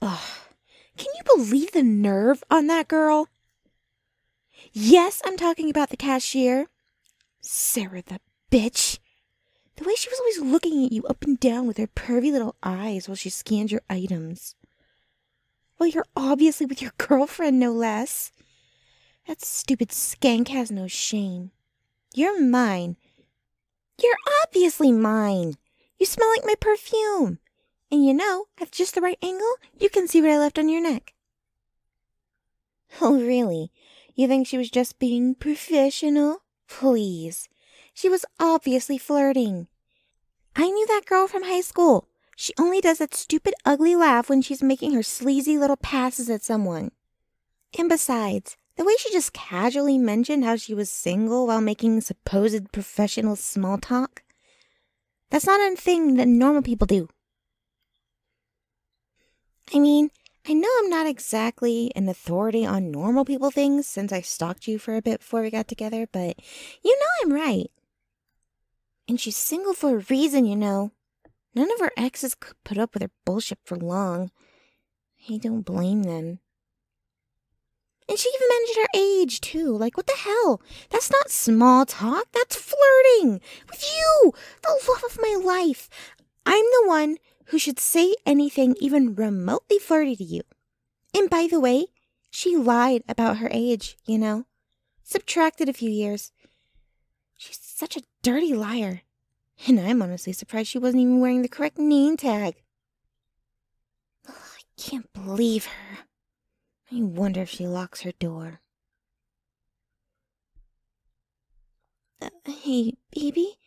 Ugh, can you believe the nerve on that girl? Yes, I'm talking about the cashier. Sarah the bitch. The way she was always looking at you up and down with her pervy little eyes while she scanned your items. Well, you're obviously with your girlfriend, no less. That stupid skank has no shame. You're mine. You're obviously mine. You smell like my perfume. And you know, at just the right angle, you can see what I left on your neck. Oh, really? You think she was just being professional? Please. She was obviously flirting. I knew that girl from high school. She only does that stupid, ugly laugh when she's making her sleazy little passes at someone. And besides, the way she just casually mentioned how she was single while making supposed professional small talk, that's not a thing that normal people do. I mean, I know I'm not exactly an authority on normal people things since I stalked you for a bit before we got together, but you know I'm right. And she's single for a reason, you know. None of her exes could put up with her bullshit for long. I don't blame them. And she even managed her age, too. Like, what the hell? That's not small talk. That's flirting with you, the love of my life. I'm the one who should say anything even remotely flirty to you. And by the way, she lied about her age, you know. Subtracted a few years. She's such a dirty liar. And I'm honestly surprised she wasn't even wearing the correct name tag. I can't believe her. I wonder if she locks her door. Uh, hey, baby,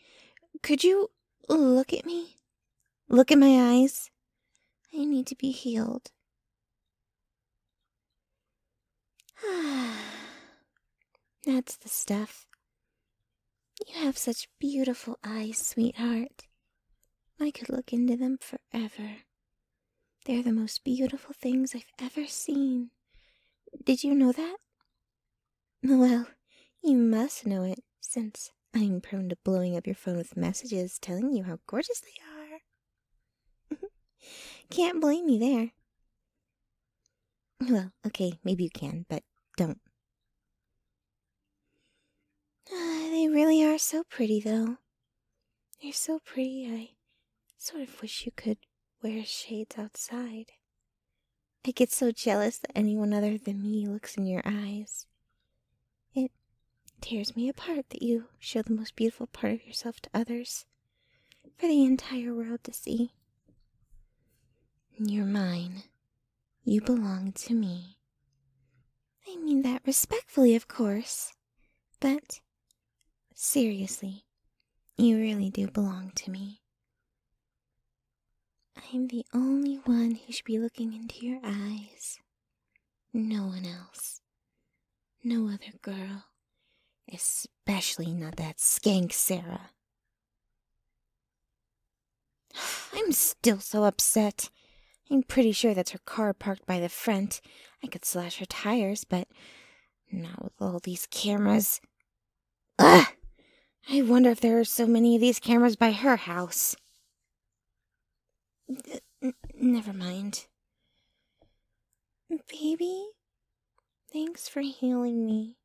could you look at me? Look at my eyes? I need to be healed. That's the stuff. You have such beautiful eyes, sweetheart. I could look into them forever. They're the most beautiful things I've ever seen. Did you know that? Well, you must know it, since I'm prone to blowing up your phone with messages telling you how gorgeous they are. Can't blame you there. Well, okay, maybe you can, but don't. Ah, they really are so pretty, though. They're so pretty, I sort of wish you could wear shades outside. I get so jealous that anyone other than me looks in your eyes. It tears me apart that you show the most beautiful part of yourself to others for the entire world to see. You're mine. You belong to me. I mean that respectfully, of course, but seriously, you really do belong to me. I'm the only one who should be looking into your eyes. No one else. No other girl. Especially not that skank Sarah. I'm still so upset. I'm pretty sure that's her car parked by the front. I could slash her tires, but not with all these cameras. Ugh! I wonder if there are so many of these cameras by her house. never mind. Baby? Thanks for healing me.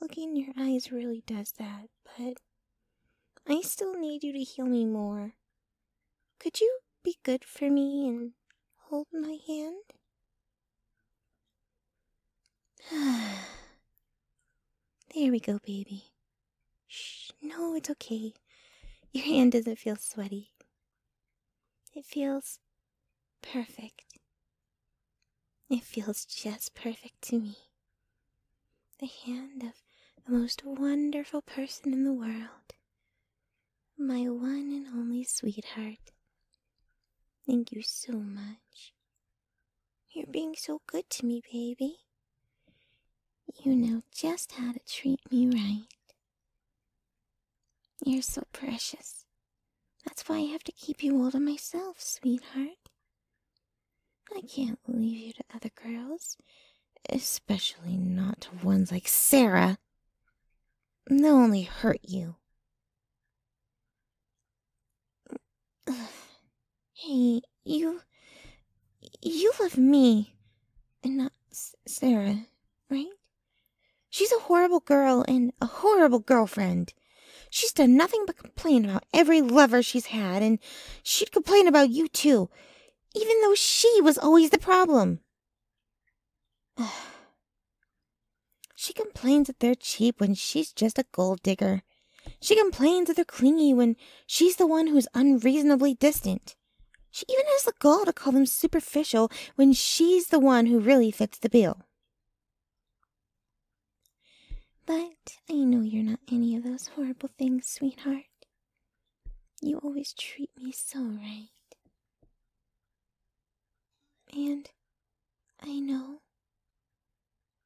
Looking in your eyes really does that, but I still need you to heal me more. Could you be good for me and hold my hand? there we go, baby. Shh, no, it's okay. Your hand doesn't feel sweaty. It feels perfect. It feels just perfect to me. The hand of the most wonderful person in the world. My one and only sweetheart. Thank you so much. You're being so good to me, baby. You know just how to treat me right. You're so precious. That's why I have to keep you all to myself, sweetheart. I can't leave you to other girls, especially not to ones like Sarah. They'll only hurt you. Hey, you. You love me, and not Sarah, right? She's a horrible girl and a horrible girlfriend. She's done nothing but complain about every lover she's had, and she'd complain about you too, even though she was always the problem. she complains that they're cheap when she's just a gold digger. She complains that they're clingy when she's the one who's unreasonably distant. She even has the gall to call them superficial when she's the one who really fits the bill. But I know you're not any of those horrible things, sweetheart. You always treat me so right. And I know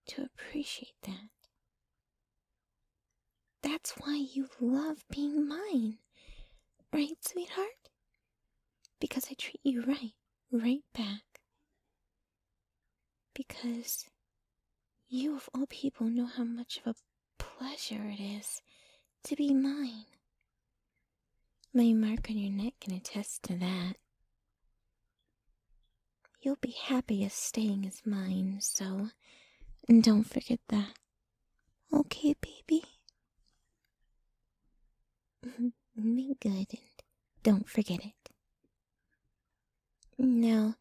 to appreciate that. That's why you love being mine, right, sweetheart? Because I treat you right, right back. Because you, of all people, know how much of a pleasure it is to be mine. My mark on your neck can attest to that. You'll be happy as staying as mine, so don't forget that. Okay, baby? Be good and don't forget it. Now,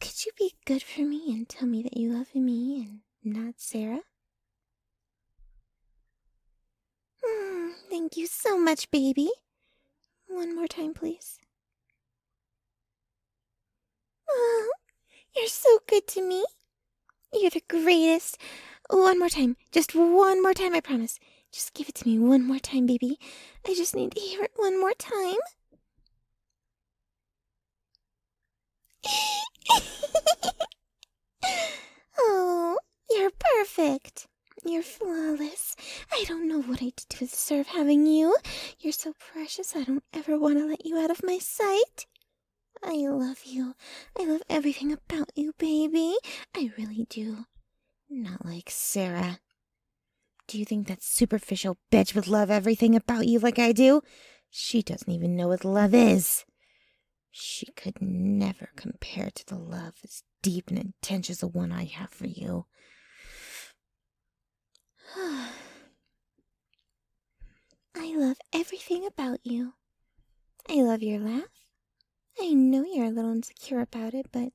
could you be good for me and tell me that you love me and not Sarah? Hmm, thank you so much, baby. One more time, please. Oh, you're so good to me. You're the greatest. One more time. Just one more time, I promise. Just give it to me one more time, baby. I just need to hear it one more time. oh, you're perfect. You're flawless. I don't know what I do to deserve having you. You're so precious, I don't ever want to let you out of my sight. I love you. I love everything about you, baby. I really do. Not like Sarah. Do you think that superficial bitch would love everything about you like I do? She doesn't even know what love is. She could never compare to the love as deep and intense as the one I have for you. I love everything about you. I love your laugh. I know you're a little insecure about it, but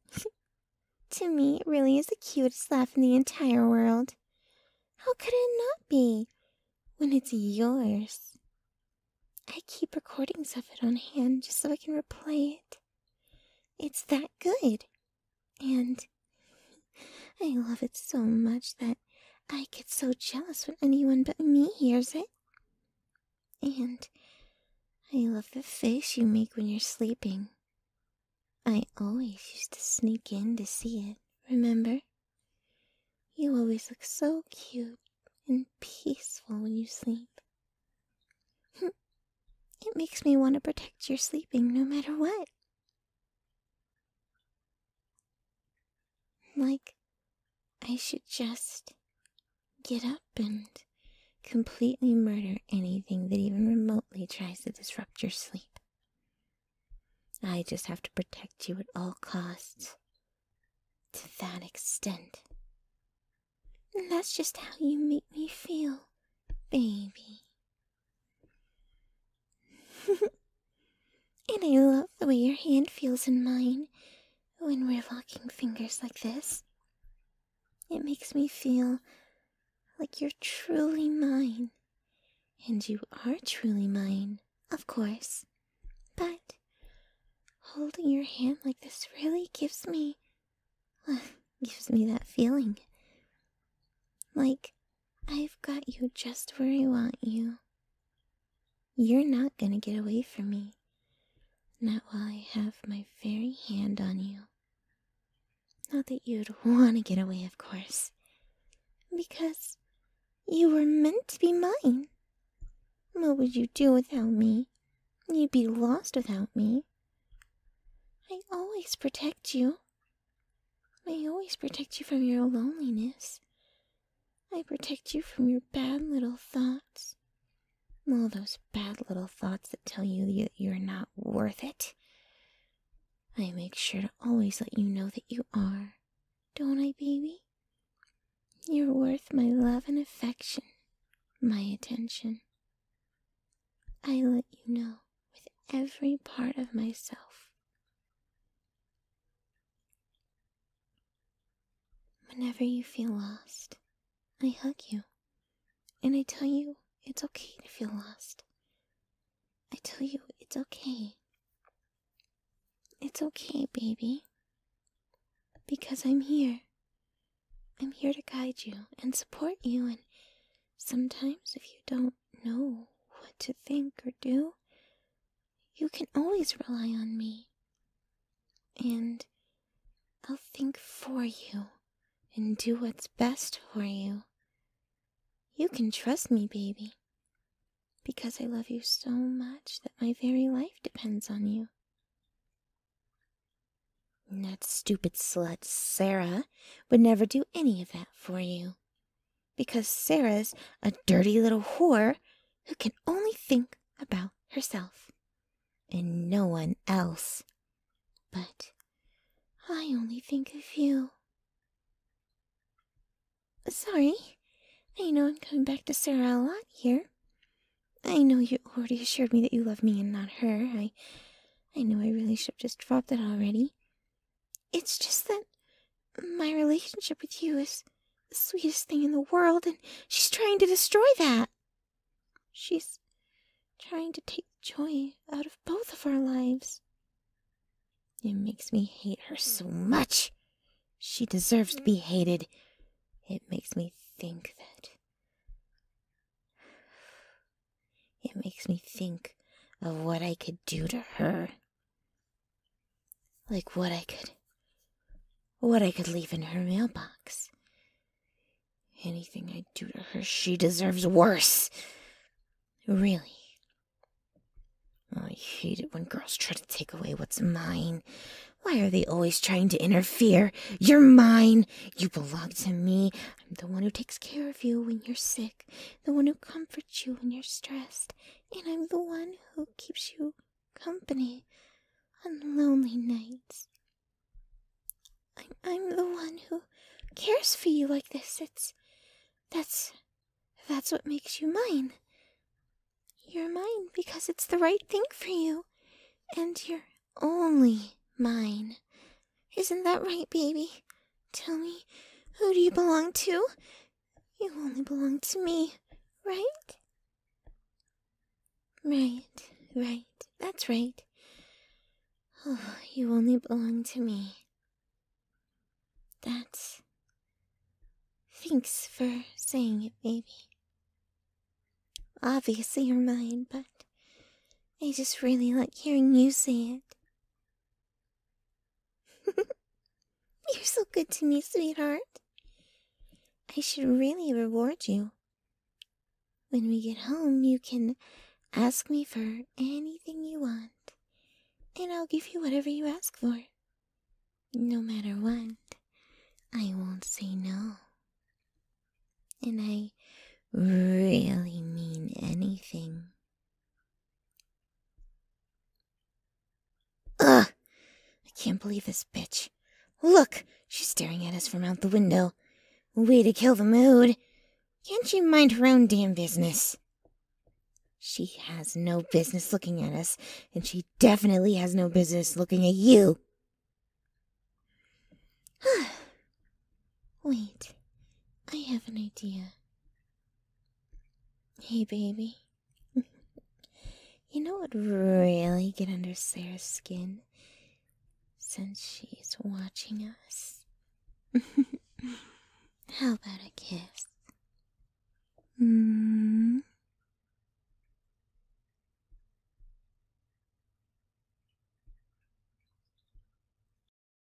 to me, it really is the cutest laugh in the entire world. How could it not be when it's yours? I keep recordings of it on hand just so I can replay it. It's that good. And I love it so much that I get so jealous when anyone but me hears it. And I love the face you make when you're sleeping. I always used to sneak in to see it, remember? You always look so cute and peaceful when you sleep. Hmm, it makes me want to protect your sleeping no matter what. Like, I should just get up and completely murder anything that even remotely tries to disrupt your sleep. I just have to protect you at all costs. To that extent. And that's just how you make me feel, baby. and I love the way your hand feels in mine when we're locking fingers like this. It makes me feel like you're truly mine. And you are truly mine, of course. But holding your hand like this really gives me. gives me that feeling. Like I've got you just where I want you. You're not gonna get away from me. Not while I have my very hand on you. Not that you'd want to get away, of course. Because you were meant to be mine. What would you do without me? You'd be lost without me. I always protect you, I always protect you from your loneliness. I protect you from your bad little thoughts. All those bad little thoughts that tell you that you're not worth it. I make sure to always let you know that you are, don't I, baby? You're worth my love and affection, my attention. I let you know with every part of myself Whenever you feel lost, I hug you, and I tell you it's okay to feel lost. I tell you it's okay. It's okay, baby. Because I'm here. I'm here to guide you and support you, and sometimes if you don't know what to think or do, you can always rely on me. And I'll think for you and do what's best for you. You can trust me, baby, because I love you so much that my very life depends on you. And that stupid slut, Sarah, would never do any of that for you because Sarah's a dirty little whore who can only think about herself and no one else. But I only think of you. Sorry, I know I'm coming back to Sarah a lot here. I know you already assured me that you love me and not her. I, I know I really should have just dropped that already. It's just that my relationship with you is the sweetest thing in the world, and she's trying to destroy that. She's trying to take joy out of both of our lives. It makes me hate her so much. She deserves to be hated. It makes me think that. It makes me think of what I could do to her. Like what I could. What I could leave in her mailbox. Anything I do to her, she deserves worse. Really. Oh, I hate it when girls try to take away what's mine. Why are they always trying to interfere? You're mine. You belong to me. I'm the one who takes care of you when you're sick, the one who comforts you when you're stressed, and I'm the one who keeps you company on lonely nights. I'm the one who cares for you like this. It's. That's. That's what makes you mine. You're mine because it's the right thing for you. And you're only mine. Isn't that right, baby? Tell me, who do you belong to? You only belong to me, right? Right, right, that's right. Oh, you only belong to me. That's. Thanks for saying it, baby. Obviously, you're mine, but I just really like hearing you say it. You're so good to me, sweetheart. I should really reward you. When we get home, you can ask me for anything you want, and I'll give you whatever you ask for. No matter what, I won't say no. And I really mean anything Ugh! I can't believe this bitch. Look! She's staring at us from out the window. Way to kill the mood. Can't she mind her own damn business? She has no business looking at us, and she definitely has no business looking at you. Wait, I have an idea. Hey, baby. you know what really get under Sarah's skin? Since she's watching us. How about a kiss? Mm-hmm.